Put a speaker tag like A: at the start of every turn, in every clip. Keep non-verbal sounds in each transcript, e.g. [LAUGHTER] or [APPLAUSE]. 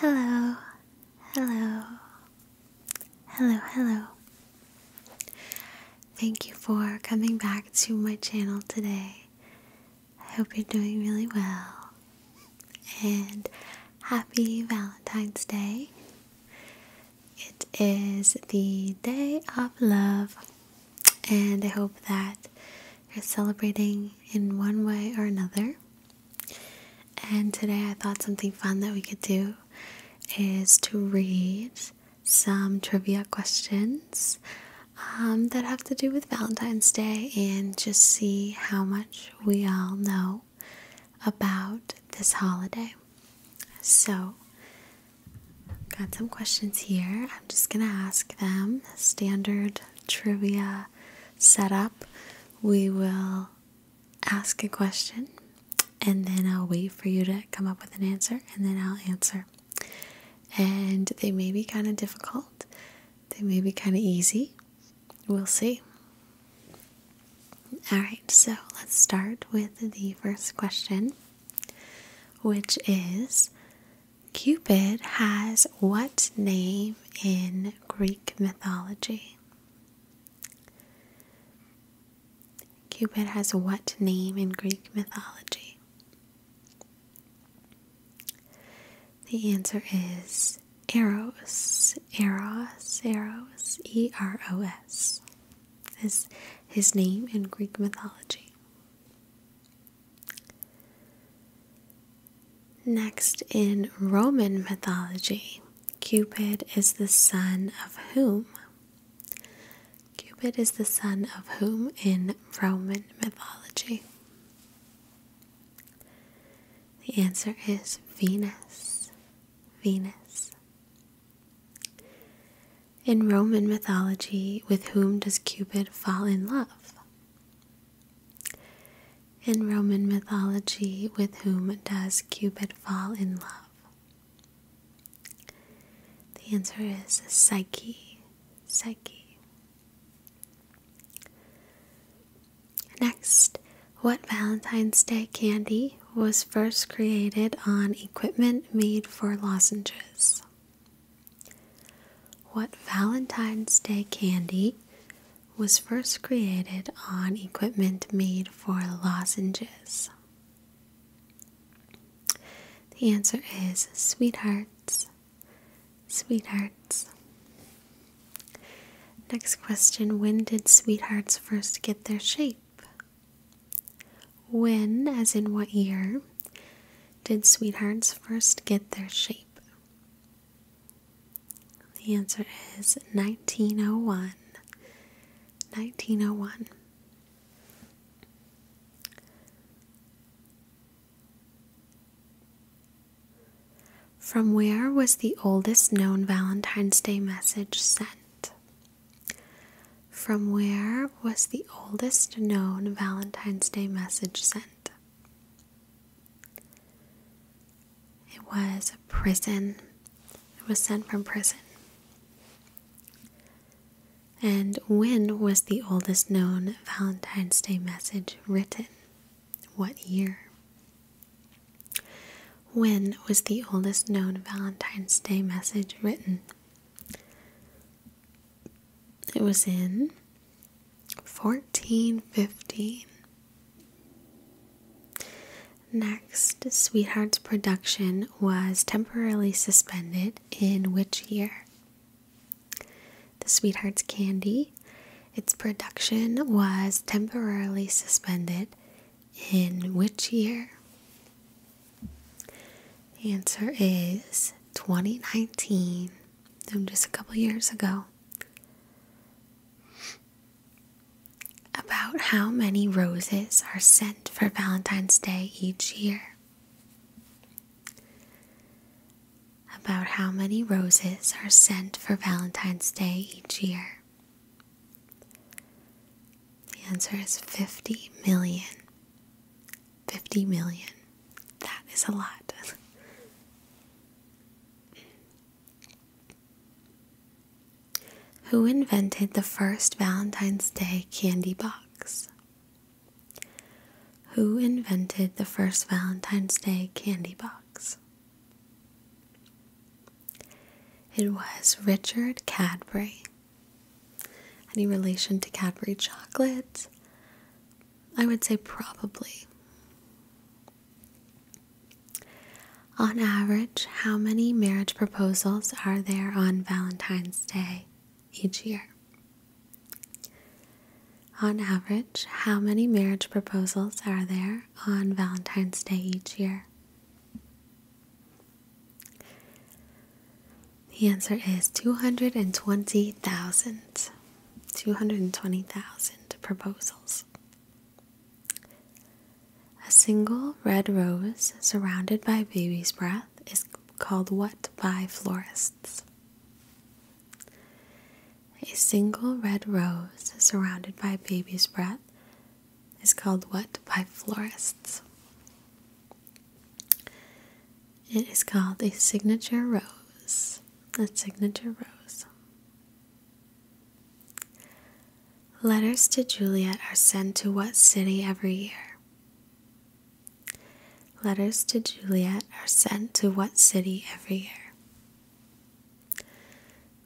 A: Hello, hello, hello, hello. Thank you for coming back to my channel today. I hope you're doing really well and happy Valentine's Day. It is the day of love, and I hope that we are celebrating in one way or another. And today I thought something fun that we could do is to read some trivia questions um, that have to do with Valentine's Day and just see how much we all know about this holiday. So, got some questions here. I'm just going to ask them standard trivia Set up. we will ask a question and then I'll wait for you to come up with an answer and then I'll answer. And they may be kind of difficult, they may be kind of easy. We'll see. All right, so let's start with the first question, which is Cupid has what name in Greek mythology? Cupid has what name in Greek mythology? The answer is Eros. Eros, Eros, E R O S is his name in Greek mythology. Next, in Roman mythology, Cupid is the son of whom? Cupid is the son of whom in Roman mythology? The answer is Venus. Venus. In Roman mythology, with whom does Cupid fall in love? In Roman mythology, with whom does Cupid fall in love? The answer is Psyche. Psyche. Next, what Valentine's Day candy was first created on equipment made for lozenges? What Valentine's Day candy was first created on equipment made for lozenges? The answer is sweethearts. Sweethearts. Next question When did sweethearts first get their shape? When, as in what year, did sweethearts first get their shape? The answer is 1901. 1901. From where was the oldest known Valentine's Day message sent? From where was the oldest known Valentine's Day message sent? It was prison. It was sent from prison. And when was the oldest known Valentine's Day message written? What year? When was the oldest known Valentine's Day message written? It was in 1415. Next, Sweetheart's production was temporarily suspended in which year? The Sweetheart's Candy, its production was temporarily suspended in which year? The answer is 2019, just a couple years ago. About how many roses are sent for Valentine's Day each year? About how many roses are sent for Valentine's Day each year? The answer is 50 million. 50 million. That is a lot. Who invented the first Valentine's Day candy box? Who invented the first Valentine's Day candy box? It was Richard Cadbury. Any relation to Cadbury chocolate? I would say probably. On average, how many marriage proposals are there on Valentine's Day each year? On average, how many marriage proposals are there on Valentine's Day each year? The answer is 220,000. 220,000 proposals. A single red rose surrounded by baby's breath is called what by florists? A single red rose surrounded by baby's breath is called what by florists? It is called a signature rose. A signature rose. Letters to Juliet are sent to what city every year? Letters to Juliet are sent to what city every year?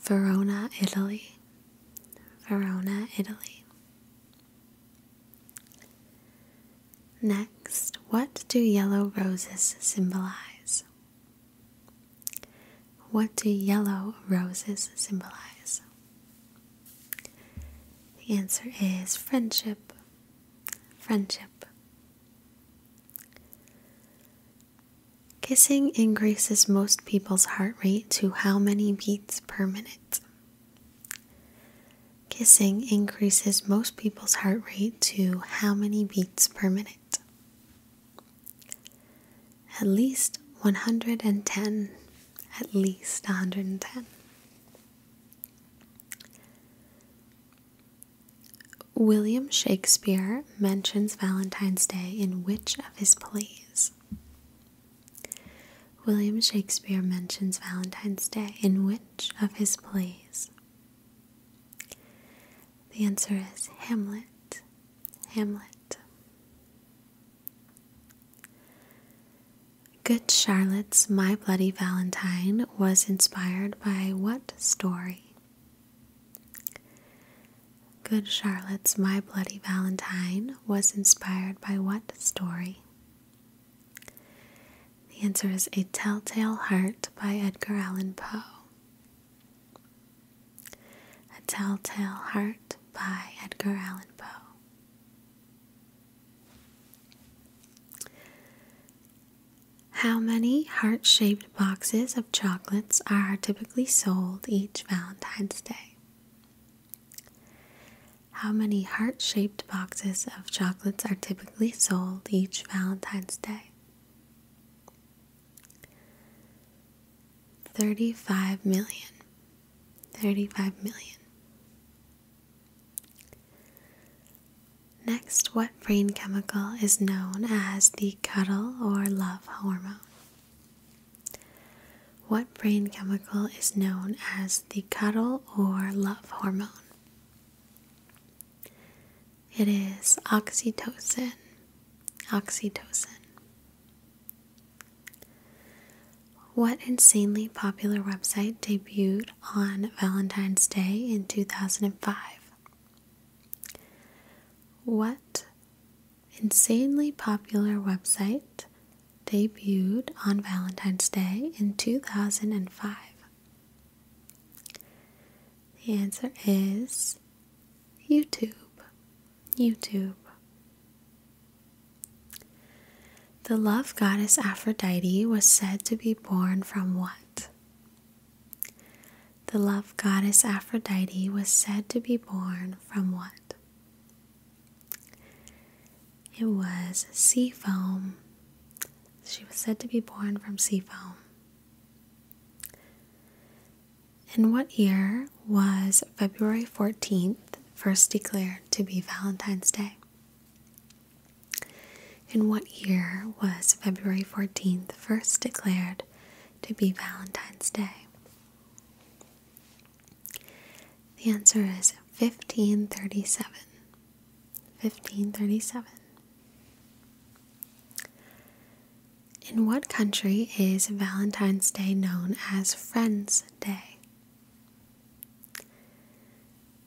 A: Verona, Italy. Verona, Italy. Next, what do yellow roses symbolize? What do yellow roses symbolize? The answer is friendship. Friendship. Kissing increases most people's heart rate to how many beats per minute? Kissing increases most people's heart rate to how many beats per minute? At least 110. At least 110. William Shakespeare mentions Valentine's Day in which of his plays? William Shakespeare mentions Valentine's Day in which of his plays? The answer is Hamlet. Hamlet. Good Charlotte's My Bloody Valentine was inspired by what story? Good Charlotte's My Bloody Valentine was inspired by what story? The answer is A Telltale Heart by Edgar Allan Poe. A Telltale Heart by Edgar Allan Poe. How many heart shaped boxes of chocolates are typically sold each Valentine's Day? How many heart shaped boxes of chocolates are typically sold each Valentine's Day? 35 million. 35 million. Next, what brain chemical is known as the cuddle or love hormone? What brain chemical is known as the cuddle or love hormone? It is oxytocin. Oxytocin. What insanely popular website debuted on Valentine's Day in 2005? What insanely popular website debuted on Valentine's Day in 2005? The answer is YouTube. YouTube. The love goddess Aphrodite was said to be born from what? the love goddess Aphrodite was said to be born from what? It was sea foam. She was said to be born from sea foam. In what year was February 14th first declared to be Valentine's Day? In what year was February 14th first declared to be Valentine's Day? The answer is 1537. 1537. In what country is Valentine's Day known as Friends Day?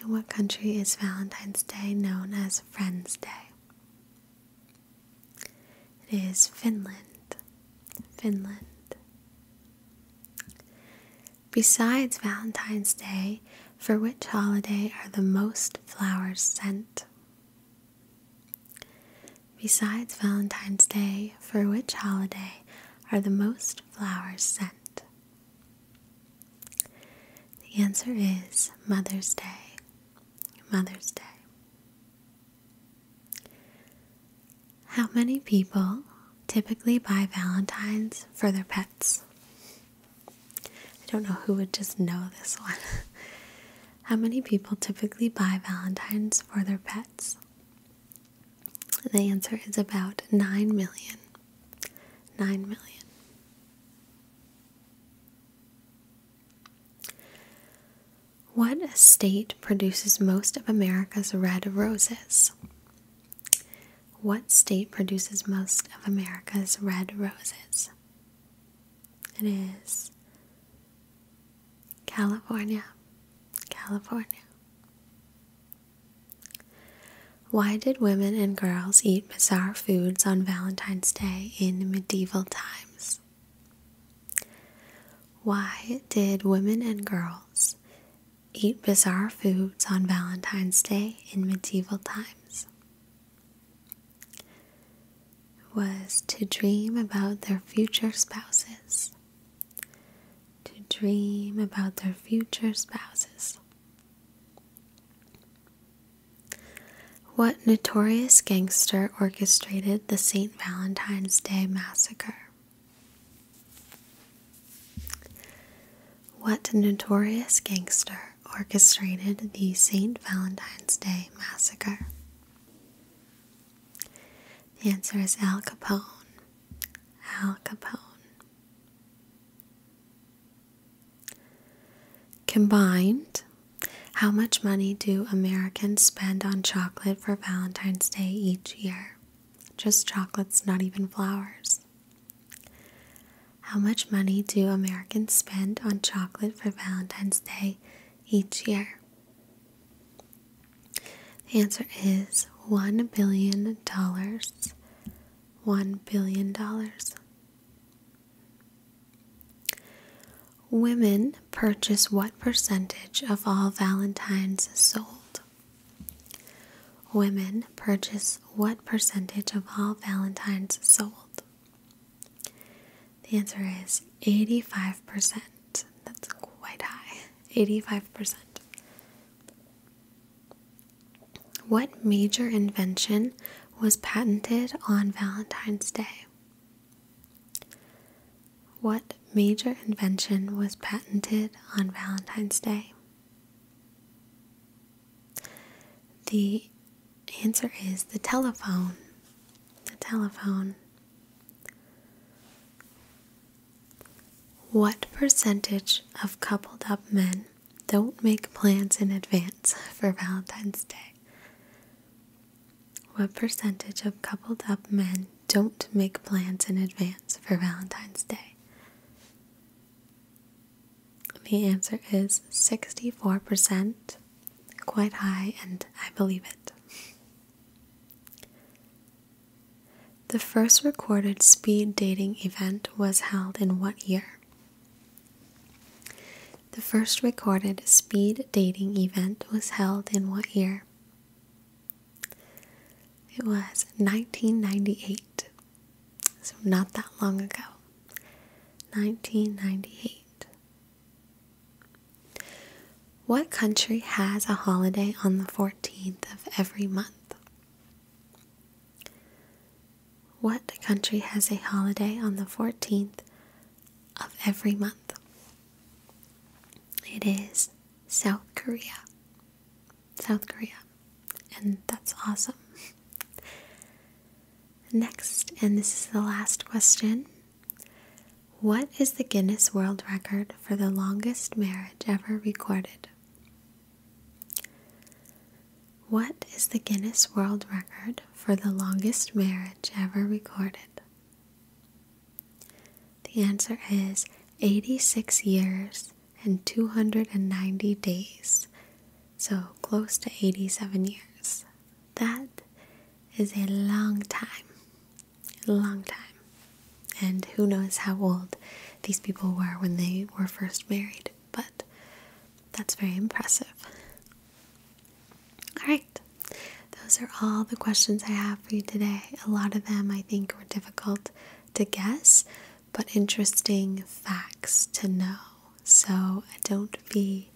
A: In what country is Valentine's Day known as Friends Day? It is Finland, Finland. Besides Valentine's Day, for which holiday are the most flowers sent? Besides Valentine's Day, for which holiday are the most flowers sent? The answer is Mother's Day. Mother's Day. How many people typically buy Valentine's for their pets? I don't know who would just know this one. [LAUGHS] How many people typically buy Valentine's for their pets? The answer is about 9 million. 9 million. What state produces most of America's red roses? What state produces most of America's red roses? It is California. California. Why did women and girls eat bizarre foods on Valentine's Day in medieval times. Why did women and girls eat bizarre foods on Valentine's Day in medieval times? Was to dream about their future spouses. To dream about their future spouses. What notorious gangster orchestrated the St. Valentine's Day Massacre? What notorious gangster orchestrated the St. Valentine's Day Massacre? The answer is Al Capone. Al Capone. Combined, how much money do Americans spend on chocolate for Valentine's Day each year? Just chocolates, not even flowers. How much money do Americans spend on chocolate for Valentine's Day each year? The answer is $1 billion. $1 billion. Women purchase what percentage of all valentines sold? Women purchase what percentage of all valentines sold? The answer is 85%. That's quite high. 85%. What major invention was patented on Valentine's Day? What major invention was patented on Valentine's Day? The answer is the telephone. The telephone. What percentage of coupled up men don't make plans in advance for Valentine's Day. What percentage of coupled up men don't make plans in advance for Valentine's Day? The answer is 64%, quite high, and I believe it. The first recorded speed dating event was held in what year? The first recorded speed dating event was held in what year? It was 1998. So, not that long ago. 1998. What country has a holiday on the 14th of every month? What country has a holiday on the 14th of every month? It is South Korea. South Korea. And that's awesome. [LAUGHS] Next, and this is the last question What is the Guinness World Record for the longest marriage ever recorded? What is the Guinness World Record for the longest marriage ever recorded? The answer is 86 years and 290 days, so close to 87 years. That is a long time. A long time. And who knows how old these people were when they were first married but that's very impressive. All right, those are all the questions I have for you today. A lot of them I think were difficult to guess, but interesting facts to know. So don't be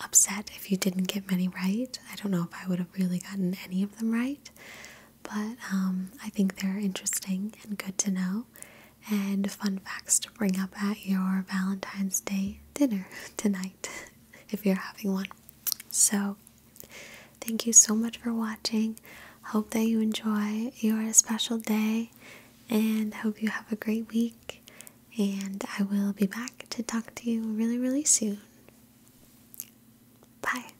A: upset if you didn't get many right. I don't know if I would have really gotten any of them right, but um, I think they're interesting and good to know and fun facts to bring up at your Valentine's Day dinner [LAUGHS] tonight [LAUGHS] if you're having one. So, thank you so much for watching. Hope that you enjoy your special day and hope you have a great week. And I will be back to talk to you really, really soon. Bye.